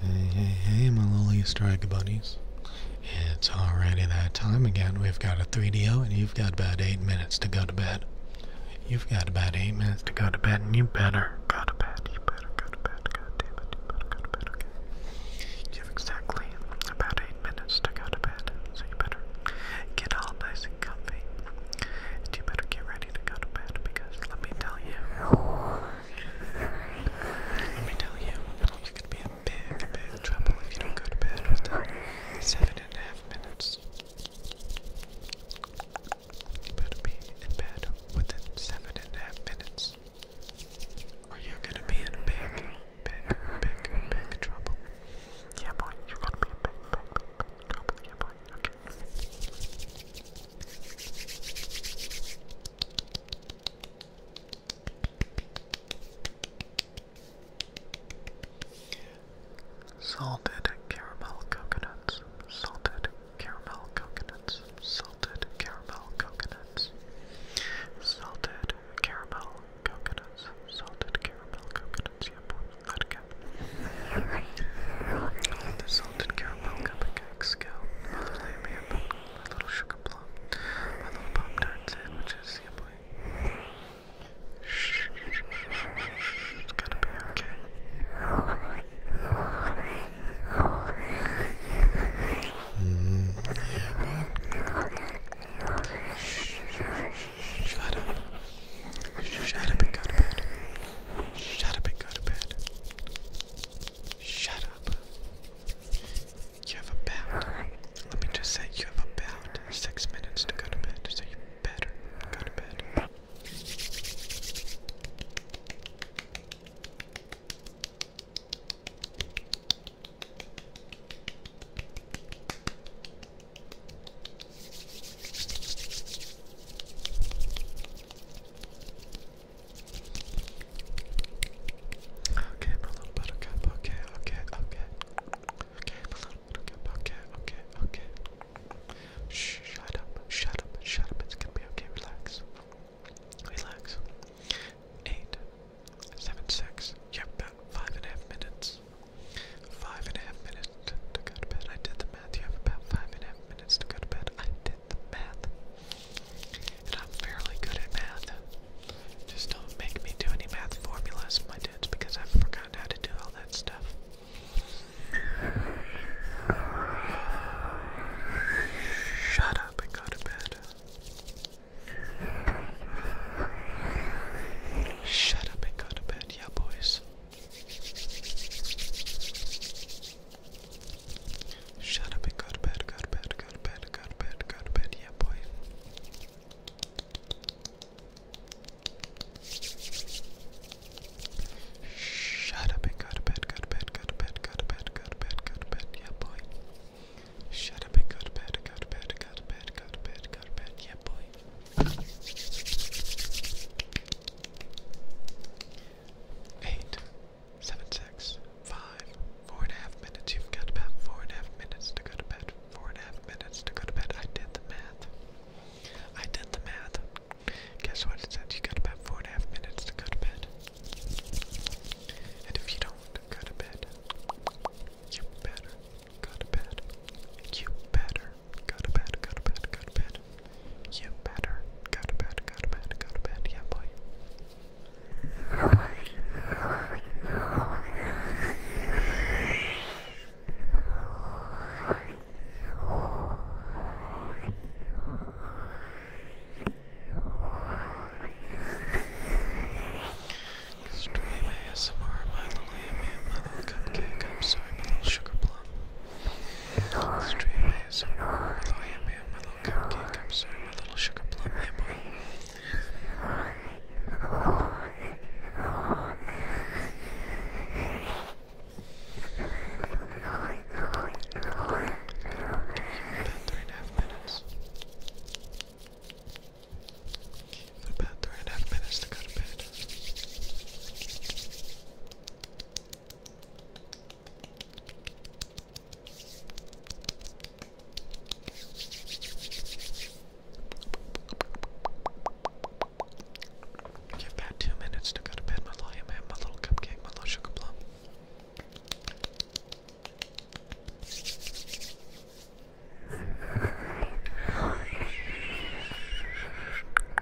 Hey, hey, hey, my little Easter egg buddies. It's already that time again. We've got a 3DO, and you've got about 8 minutes to go to bed. You've got about 8 minutes to go to bed, and you better go to bed. You better go to bed. God damn it, you better go to bed, okay? You have exactly about 8 minutes to go to bed, so you better get all nice and comfy. And you better get ready to go to bed, because let me tell you. Let me tell you, you could be in big, big trouble if you don't go to bed seven and a half minutes. You better be in bed within seven and a half minutes, or you're gonna be in big, big, big, big trouble. Yeah, boy, you're gonna be in big, big, big, big trouble. Yeah, boy, okay. Salted caramel coconuts, salted caramel coconuts, salted caramel coconuts, salted caramel coconuts, salted caramel coconuts, yep, that guy cup. the salted caramel cupcake cakes go. My little lamb, little sugar plum, my little pop tart sandwiches, yeah Shh, it's to be okay. Mm, yeah, Shh, shut up. Shut up and go to bed. Shut up and go to bed. Shut up. You have about, let me just say, you have about six minutes to go to bed, so you better go to bed. Okay, my little buttercup, okay, okay, okay. Okay, my little buttercup, okay, okay, okay. Shh, shut up, shut up, shut up, it's gonna be okay, relax. Relax. Eight, seven, six, yep, about five and a half minutes. Five and a half minutes, to, go to bed. I did the math. You have about five and a half minutes to go to bed. I did the math. And I'm fairly good at math. Just don't make me do any math formulas, my dudes, because I've forgotten how to do all that stuff. Shut up and go to bed. Shut up and go to bed, yeah, boys. Shut up and go to bed, go to bed, go to bed, go to bed, go to bed, yeah boy. Shut up and go to bed, go to bed, go to bed, go to bed, go to bed, go to bed, yeah boy. Shut up and go to bed, go to bed, go to bed, go to bed, go to bed, yeah boy. Eight, seven, six, five, four and a half minutes. You've got about four and a half minutes to go to bed. Four and a half minutes to go to bed. I did the math. I did the math. Guess what it said? You have got about four and a half minutes to go to bed. And if you don't go to bed, you better go to bed. You better Go to bed, go to bed, go to bed. You better go to bed, go to bed, go to bed. Yeah, boy. Stream ASMR, my little ambient, my little cupcake. I'm sorry, my little sugar plum. I'm sorry, my little sugar plum, yeah three and a half minutes. About three and a half minutes to go to bed. Give Pat two minutes to go to bed, my little ham, my little cupcake, my little sugar plum.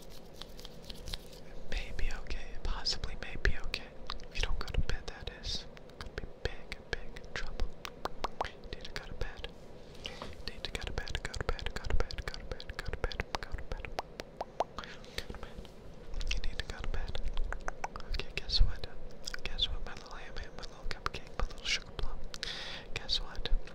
It May be okay, possibly may be okay. If you don't go to bed, that is. Could be big, big trouble. Need to go to bed. Need to go to bed, go to bed, go to bed, go to bed, go to bed, go to bed. You need to go to bed. Okay, guess what? Guess what, my little ham, my little cupcake, my little sugar plum. Guess what?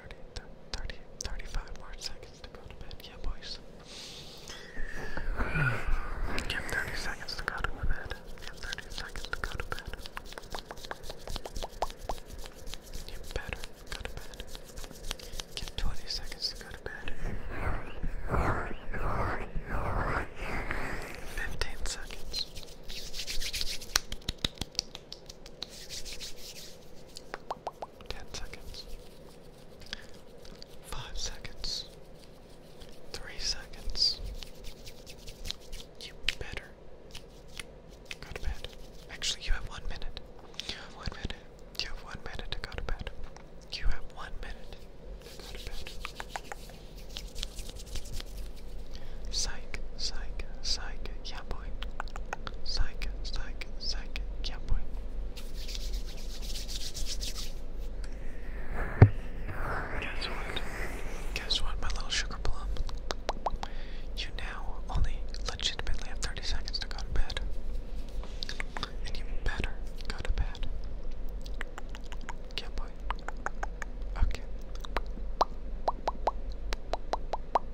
30, more seconds to go to bed. Yeah, boys. Give 30 seconds to go to bed. Give 30 seconds to go to bed. You better go to bed. Give 20 seconds to go to bed. 15 seconds. Ten seconds. Five seconds. Three seconds. You better go to bed. Actually, you have one minute. one minute. You have one minute to go to bed. You have one minute to go to bed. Psych, psych, psych, yeah boy. Psych, psych, psych, yeah boy. Guess what? Guess what, my little sugar plum? You now only legitimately have 30 seconds to go to bed. And you better go to bed. Yeah boy. Okay.